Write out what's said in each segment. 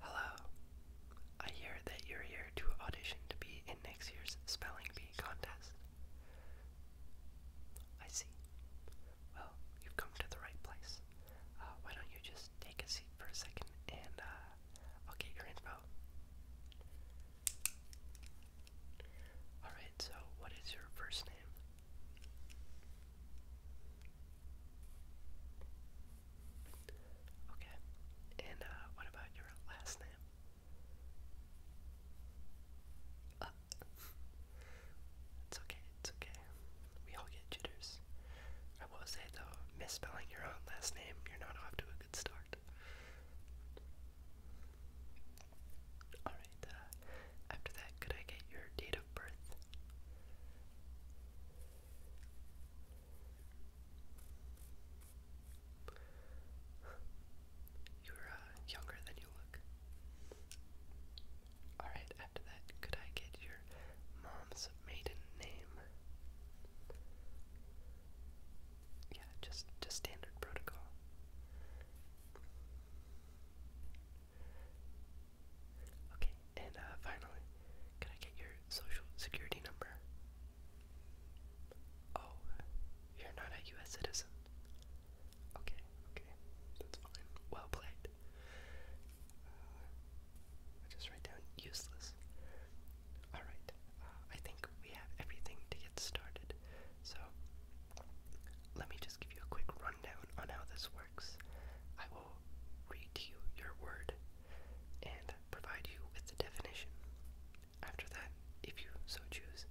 Hello. I hear that you're here to audition to be in next year's Spelling Bee contest. I see. Well, you've come to the right place. Uh, why don't you just take a seat for a second and uh, I'll get your info. Alright, so what is your first name? Okay. And uh, what about your last name? Uh, it's okay, it's okay. We all get jitters. I will say though, misspelling your own last name, you're not off to a good start. Alright, uh, after that, could I get your date of birth? You're uh, younger than you look. Alright, after that, could I get your mom's maiden name? Yeah, just just standard protocol. Okay, and uh, finally, can I get your social security number? Oh, you're not a U.S. citizen. Okay, okay, that's fine. Well played. Uh, just write down useless. Alright, uh, I think we have everything to get started. So, let me just give you a quick rundown on how this works. I will read you your word and provide you with the definition. After that, if you so choose,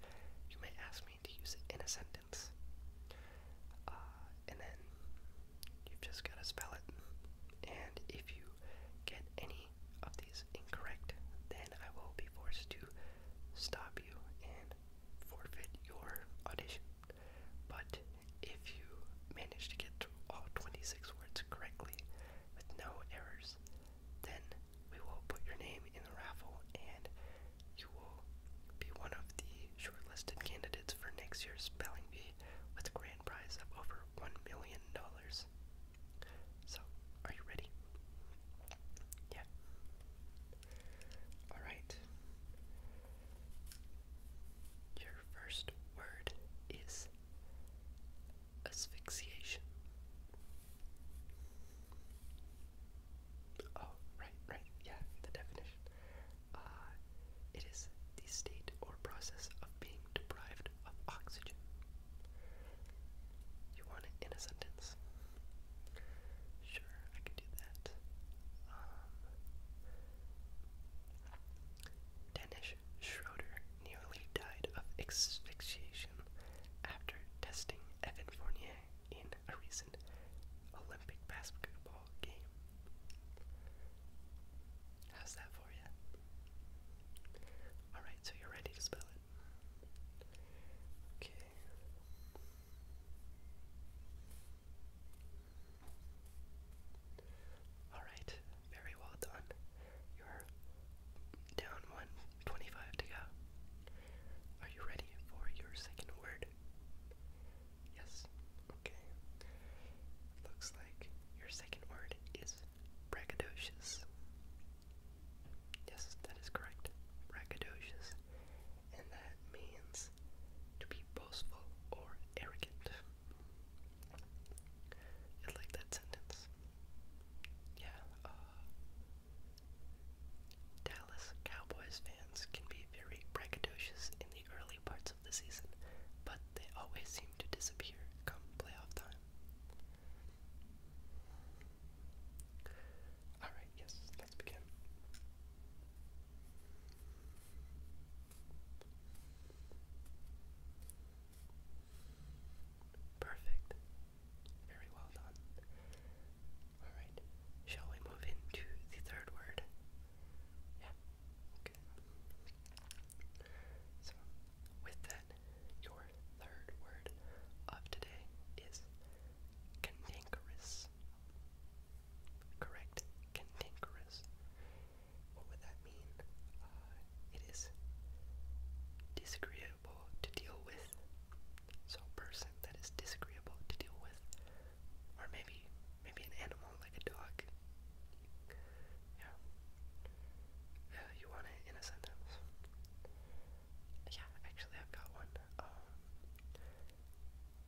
you may ask me to use it in a sentence. Uh, and then you've just got to spell it. And if you get any of these incorrect, then I will be forced to stop you and forfeit your audition. But if you manage to get all 26 words correctly with no errors, then we will put your name in the raffle and you will be one of the shortlisted candidates for next year's Spelling Bee with a grand prize of over $1 million. So, are you ready? Yeah. Alright. Your first word is asphyxiation. Oh, right, right, yeah, the definition. Uh, it is the state or process of being deprived of oxygen. You want it in a sentence? Sure, I can do that. Um, Dennis Schroeder nearly died of asphyxiation after testing Evan Fournier in a recent Olympic basketball game. How's that for you? Alright, so you're ready to spell it. Okay. Alright, very well done. You're down 125 to go. Are you ready for your second word? Yes. Okay. Looks like your second word is braggadocious. Yes, that is correct. Braggadocious. And that means to be boastful or arrogant. I like that sentence. Yeah, uh, Dallas Cowboys fans can be very braggadocious in the early parts of the season, but they always seem to disappear come playoff time. Alright, yes, let's begin. Perfect. Very well done. Alright, shall we move into the third word? Yeah, okay. So, with that, your third word of today is cantankerous. Correct. Cantankerous. What would that mean? Uh, it is disagreeable to deal with. So a person that is disagreeable to deal with. Or maybe maybe an animal like a dog. Yeah. Yeah, uh, you want it in a sentence. Yeah, actually I've got one. Um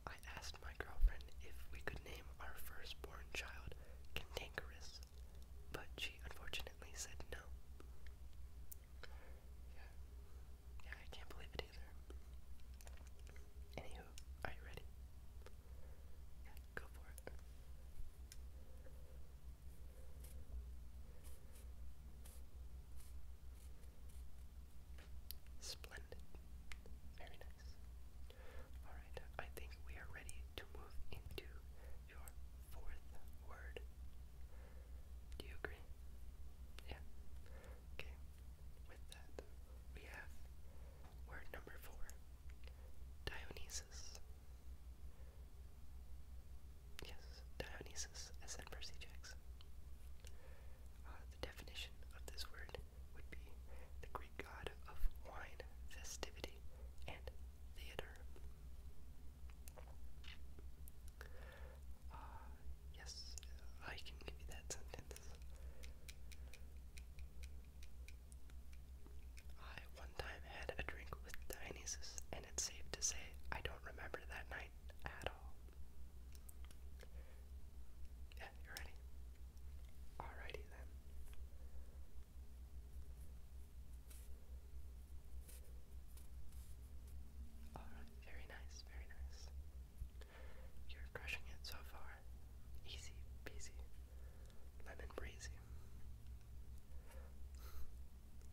I asked my girlfriend if we could name our firstborn child Cantankerous, but she unfortunately said no. Yeah. Yeah, I can't believe it either. Anywho, are you ready? Yeah, go for it. Splendid. Very nice. Alright, I think we are ready to move into your fourth word. Do you agree? Yeah. Okay. With that, we have word number four Dionysus. Yes, Dionysus, as in the definition of this word would be the Greek god of wine, festivity, and theater. Uh, yes, I can give you that sentence. I one time had a drink with Dionysus, and it's safe to say I don't remember that night at all. Yeah, you ready? Alrighty then. Alright, very nice, very nice. You're crushing it so far. Easy peasy. Lemon breezy.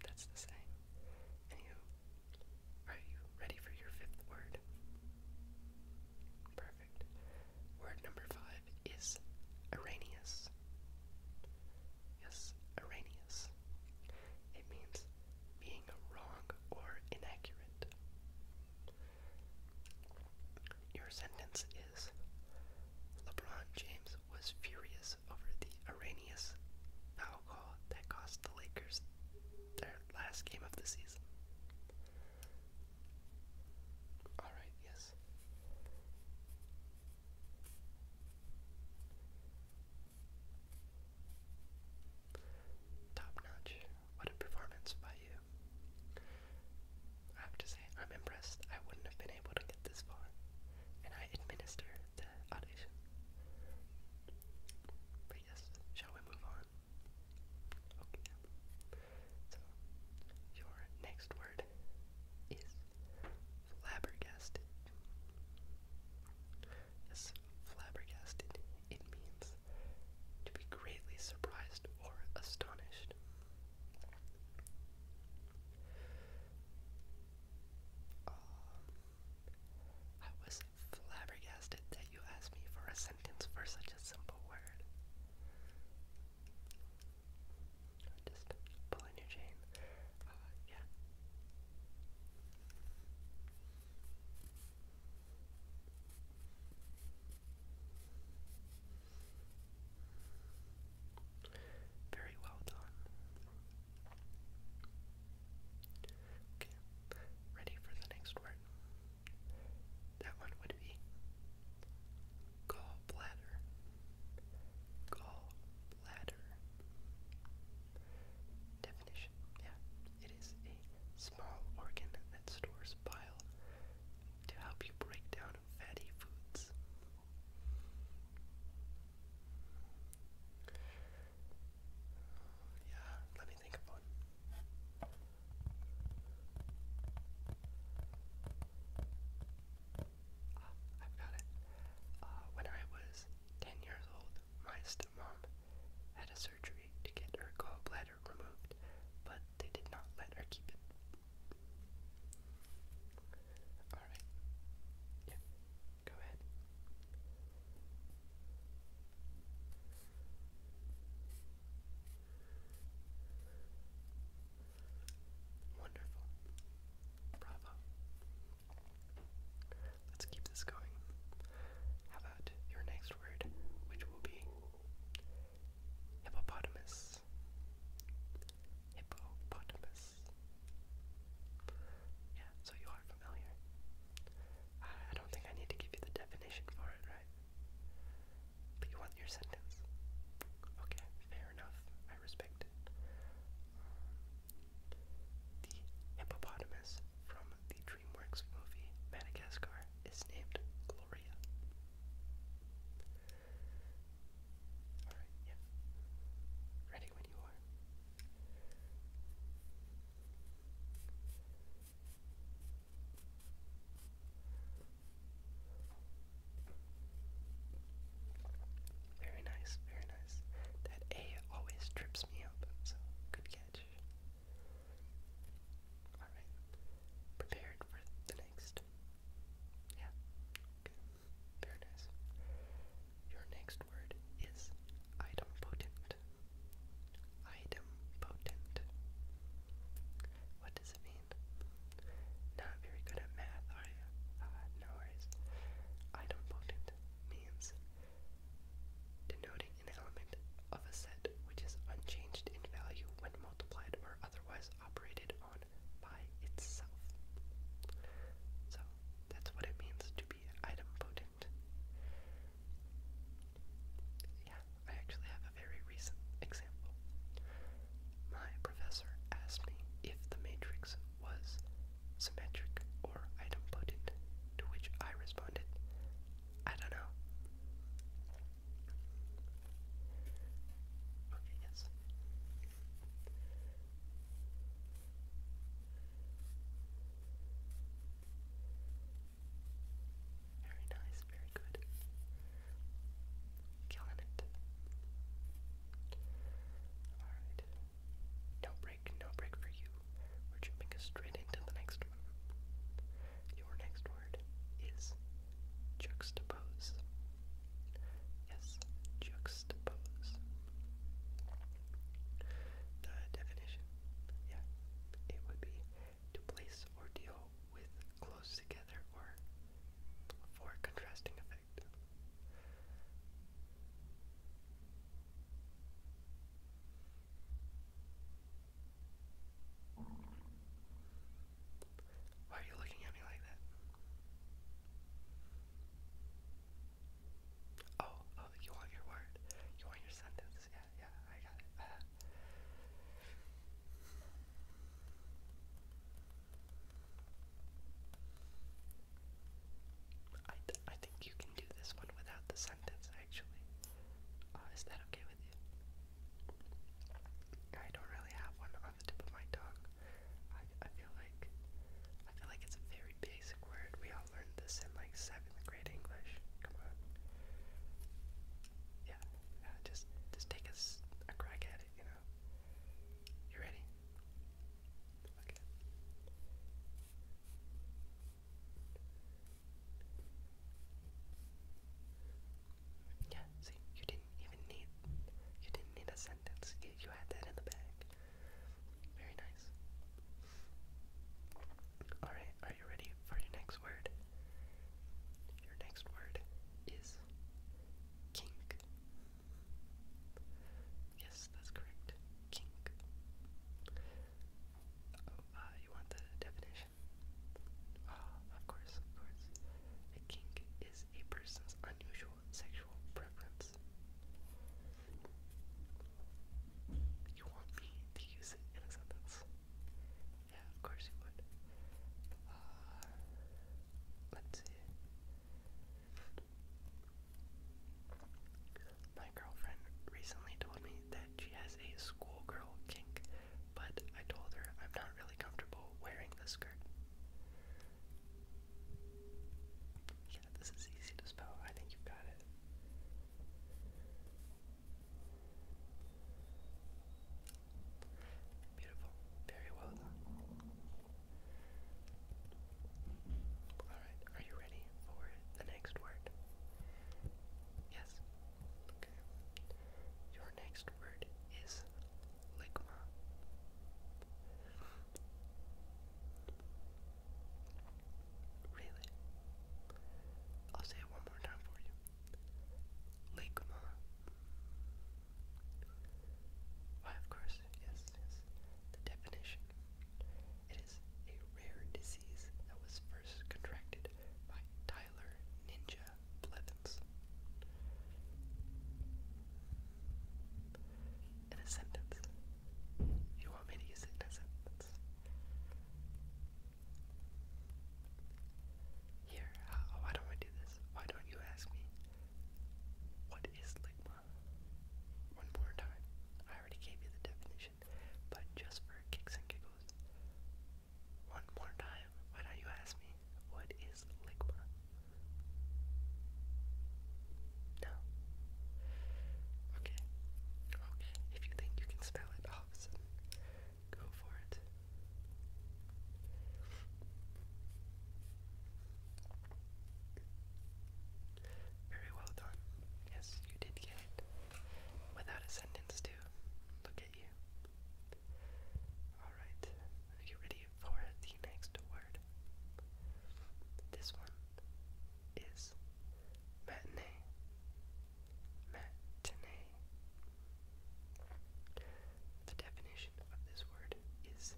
That's the saying. Anywho, are you ready for your fifth word? Perfect. Word number five is Arrhenius. Yes, Arrhenius. It means being wrong or inaccurate. Your sentence is LeBron James was furious over the Arrhenius foul call that cost the Lakers their last game of the season. Alright, yes. Top notch. What a performance by you. I have to say, I'm impressed. I wouldn't have been able to get this far. And I administer the audition. But yes, shall we move on? So your next word is flabbergasted. Yes, flabbergasted. It means to be greatly surprised or astonished. Um, I was flabbergasted that you asked me for a for such a simple word. Just pull your chain. Uh, yeah. Very well done. Okay, ready for the next word. That one would be gallbladder, gallbladder. Definition, yeah. It is a small organ that stores bile to help you break down fatty foods. Yeah, let me think of Ah, I've got it. Uh, when I was 10 years old, my stepmom had a surgery to get her gallbladder removed, but they did not let her keep it. Alright. Yeah, go ahead. Wonderful. Bravo. Let's keep this going. How about your next word, which will be hippopotamus? Hippopotamus. Yeah, so you are familiar. I don't think I need to give you the definition for it, right? But you want your sentence. Okay, fair enough. I respect it. the hippopotamus from the DreamWorks movie Madagascar is named Gloria. Alright, yeah. Ready when you are. Very nice, very nice. That A always trips me up, so good catch. Alright. Prepared for the next. Yeah. Good. Very nice. Your next word is idempotent idempotent. What does it mean? Not very good at math, are you? Ah, no worries. Idempotent means denoting an element of a set which is unchanged in value when multiplied or otherwise operated on by itself. So that's what it means to be idempotent. Yeah, I actually have a very recent example. My professor asked me if the matrix was symmetric or idempotent, to which I responded, I don't know. Okay, yes. Very nice, very good. Killing it. Alright. No break, no break for you. We're jumping straight into the next one. Your next word is juxtapose. Yes, juxtapose. The definition yeah, it would be to place or deal with close together or for contrasting effect. Why are you looking at me like that? Oh, oh, you want your word. You want your sentence sense. Yeah, yeah, I got it. Uh, I, I think you can do this one without the sentence, actually. Uh, is that okay with you? I don't really have one on the tip of my tongue. I, I feel like I feel like it's very basic word. We all learned this in like seventh grade English. Come on. Yeah, yeah uh, just just take a, a crack at it, you know. You ready? Yeah, see, you didn't even need you didn't need a sentence. You, had that in the bag. Very nice. Alright, are you ready for your next word? Your next word is kink. Yes, that's correct. Kink. Oh, uh, you want the definition? Ah, of course, of course. A kink is a person's unusual sexual preference. You want me to use it in a Yeah, of course you would. Uh, let's see. My girlfriend recently told me that she has a schoolgirl kink, but I told her I'm not really comfortable wearing this skirt. Yeah, this is easy to spell. I think you've got it. Beautiful. Very well done. Alright, are you ready for the next word? Yes. Okay. Your next word is ligma. Really? I'll say it one more time for you. Ligma. Why, of course, yes, yes. The definition. It is a rare disease that was first contracted by Tyler Ninja Blevins. In a sentence, you want me to use it in a Here, uh, oh, why don't I do this? Why don't you ask me? What is ligma? One more time. I already gave you the definition, but just for kicks and giggles. One more time. Why don't you ask me? What is ligma? No. Okay. Okay. If you think you can spell it go for it. Very well done. Yes, you did get it. Without a sentence, too. Look at you. Alright, you ready for the next word? This one is matinee, matinee. The definition of this word is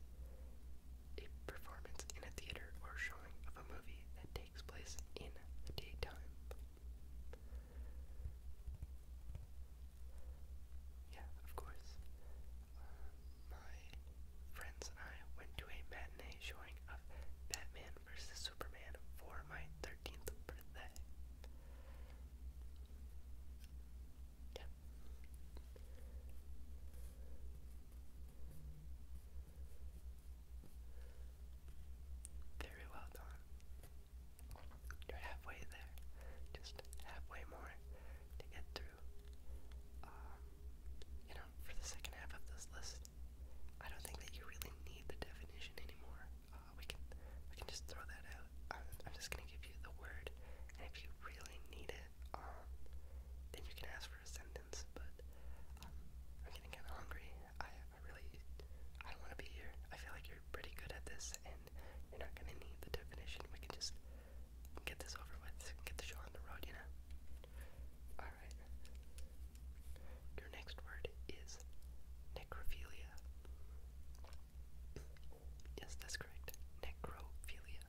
a performance in a theater or showing of a movie that takes place in the daytime. Yeah, of course. Uh, my friends and I went to a matinee showing of Batman vs. Superman for my 13th birthday. Very well done. You're halfway there. Just halfway more to get through. Um, you know, for the second half of this list, I don't think that you really need the definition anymore. Uh, we can we can just throw that out. I'm, just gonna give you the word, and if you really need it, um, then you can ask for a sentence. But um, I'm getting kind of hungry. I I really I don't want to be here. I feel like you're pretty good at this, and you're not gonna need the definition. We can just get this over with. Get the show on the road, you know. Alright. Your next word is necrophilia. Yes, that's correct. Necrophilia.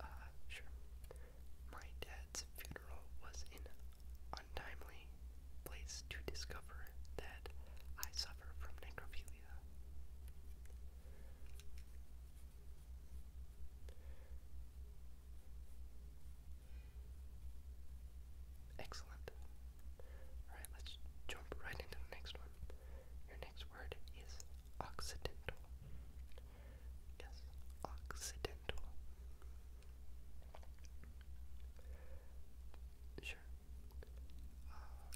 Uh, sure. My dad's funeral was an untimely place to discover that I suffer from necrophilia. Excellent. Alright, let's jump right into the next one. Your next word is Occidental. Yes, Occidental. Sure. Uh,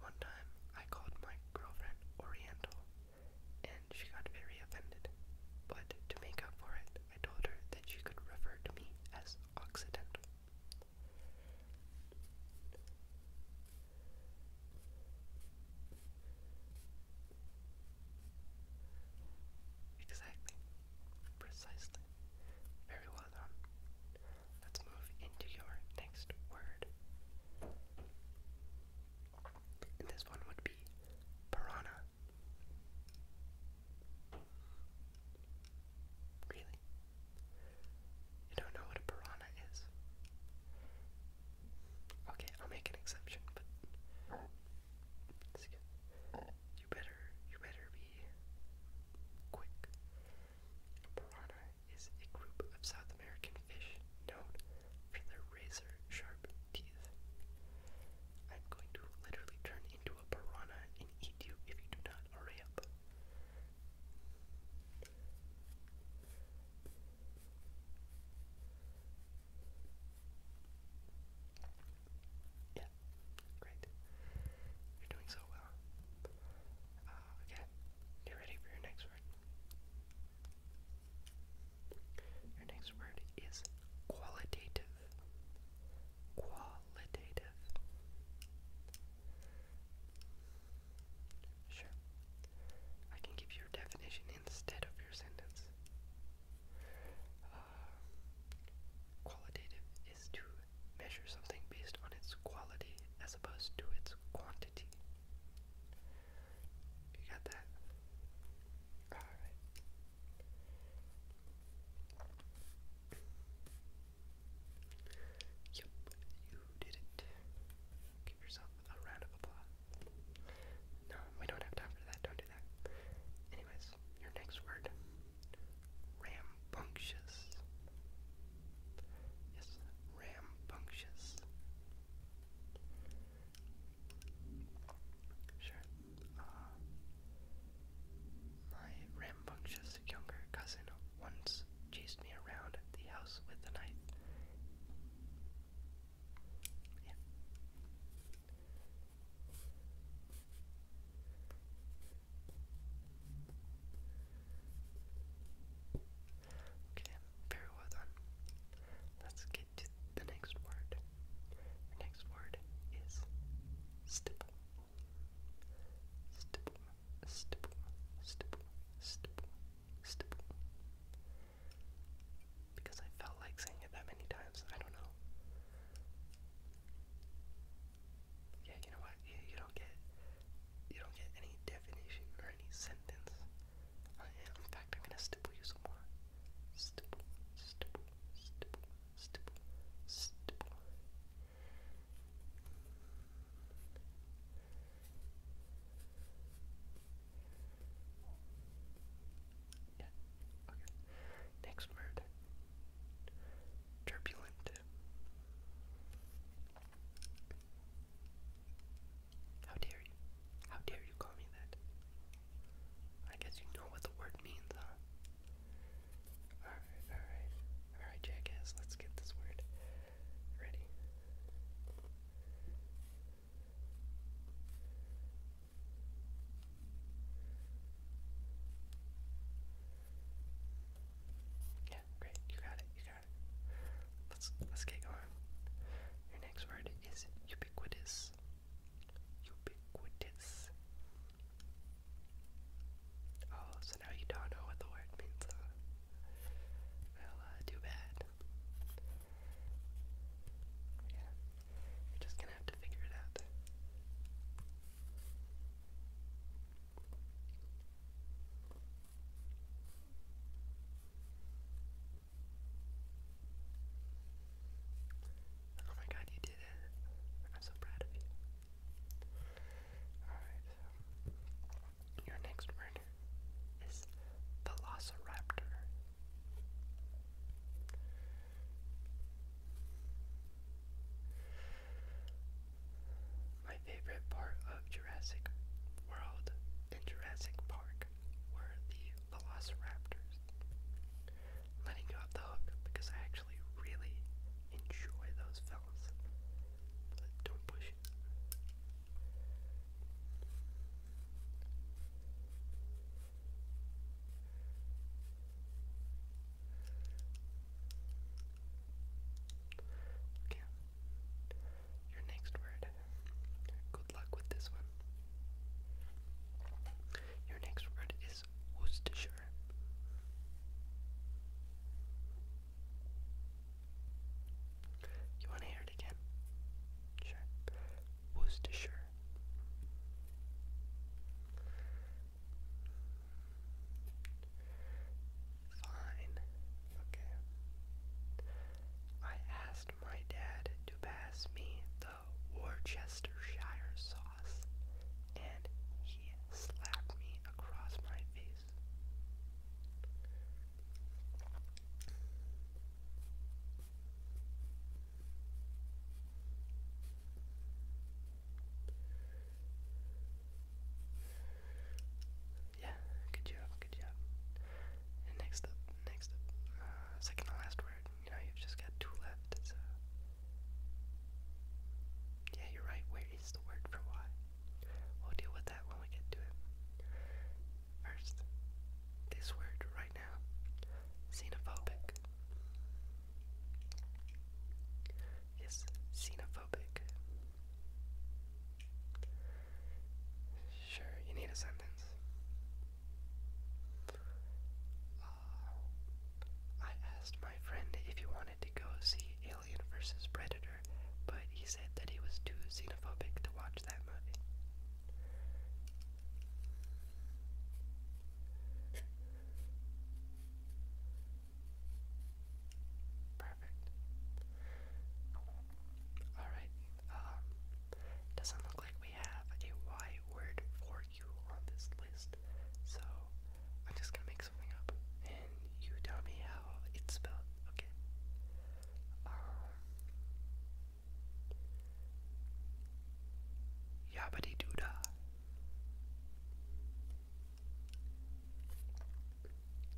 one time, I called my girlfriend Oriental, and she got very offended. But to make up for it, I told her that she could refer to me as Occidental. Exactly. Precisely. Very well done. Let's move into your next word. this one would be piranha. Really? You don't know what a piranha is? Okay, I'll make an exception, but. Excuse me. You better, you better be quick. Piranha is a group of South American fish known for their razor sharp teeth. I'm going to literally turn into a piranha and eat you if you do not hurry up. Yeah, great. You're doing so well. Uh, okay, get ready for your next word. Your next word is qualitative. Qualitative. Sure. I can give you your definition instead of your sentence. Uh, uh, qualitative is to measure something based on its quality as opposed to its quantity. You got that? Alright. Yep, you did it. Give yourself a round of applause. No, we don't have time for that, don't do Anyways, your next word. Rambunctious. Yes, rambunctious. Sure. Uh, my rambunctious younger cousin once chased me around the house with a knife. Okay, very well Let's get to the next word. next word is stipple. Stipple, stipple, stipple, stipple, stipple. Because I felt like saying it that many times, I don't know. Yeah, you know what? You, you don't get you don't get any definition or any sentence. in fact, I'm gonna stipple you some more. Stipple, stipple, stipple, stipple, stipple. Yeah. Okay. Next word turbulent. How dare you? How dare you call me that? I guess you know what the word means, huh? Alright, alright. Alright, jackass, let's get this word ready. Yeah, great. You got it. You got it. Let's let's get going. Your next word is ubiquitous. Ubiquitous. Oh, so now you don't know what the word means, Well, uh, too bad. Yeah. You're just gonna have to figure it out. Oh my god, you did it. I'm so proud of you. Alright, your next word is Velociraptor. My favorite part of Jurassic World and Jurassic Park were the velociraptors. letting you off the hook because I actually really enjoy those films. But don't push it. Okay. Your next word. Good luck with this one. Your next word is Worcestershire. You want to hear it again? Sure. Worcestershire. Fine. Okay. I asked my dad to pass me the Worcestershire sauce, and he slapped me across my face. Yeah, good job, good job. next up, next up, uh, second to last word. You you've just got two left. So, yeah, you're right. Where is the word for why? We'll deal with that when we get to it. First, this word right now xenophobic. Yes, xenophobic. Sure, you need a sentence. Uh, I asked my friend if he wanted to go see Alien vs. Predator, but he said that he was too xenophobic to watch that movie. Perfect. Alright, um, doesn't look like we have a Y word for you on this list, so I'm just gonna make something up and you tell me how it's spelled, okay? Um, Yabbity doo dah.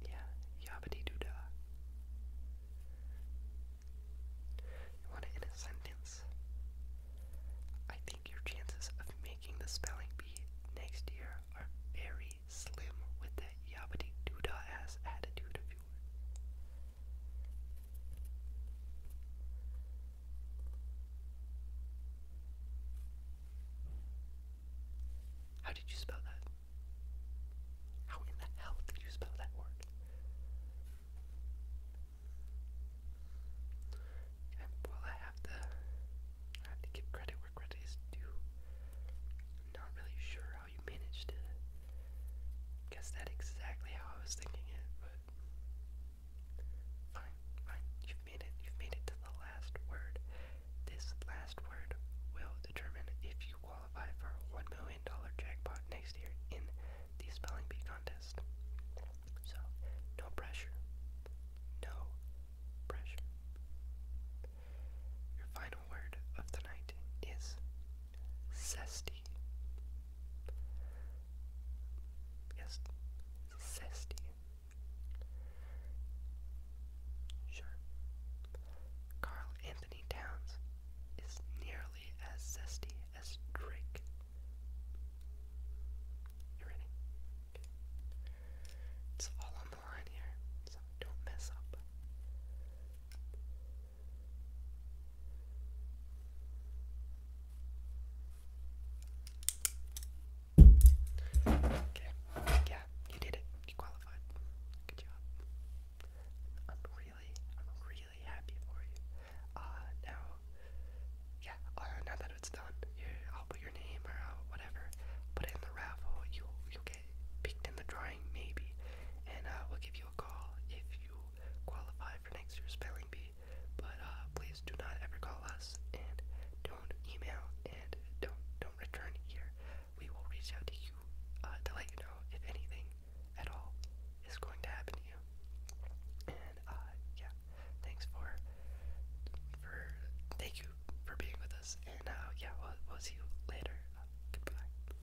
Yeah, yabbity doo You want it in a sentence? I think your chances of making the spelling bee next year are very slim with that yabbity attitude of yours. How did you spell that? How in the hell did you spell that word? And I have to, I have to give credit where credit is due. not really sure how you managed it. Guess that's exactly how I was thinking it, but fine, fine. You've made it. You've made it to the last word. This last word will determine if you qualify for one million dollar jackpot next year in the spelling bee contest. So, no pressure. No pressure. Your final word of the night is Zesty. Yes, zesty. Sure. Carl Anthony Towns is nearly as zesty as Drake. You ready? It's all on the line here, so don't mess up. Okay. Yeah, you did it. You qualified. Good job. I'm really, I'm really happy for you. Uh, now, yeah, uh, now that it's done, I'll put your name or uh, whatever, put it in the raffle. you you'll get picked in the drawing, maybe, and uh, we'll give you call if you qualify for next year's spelling bee. But uh, please do not ever call us, and don't email, and don't don't return here. We will reach out to you uh, to let you know if anything at all is going to happen to you. And uh, yeah, thanks for for thank you for being with us. And uh, yeah, we'll, we'll see you later. goodbye.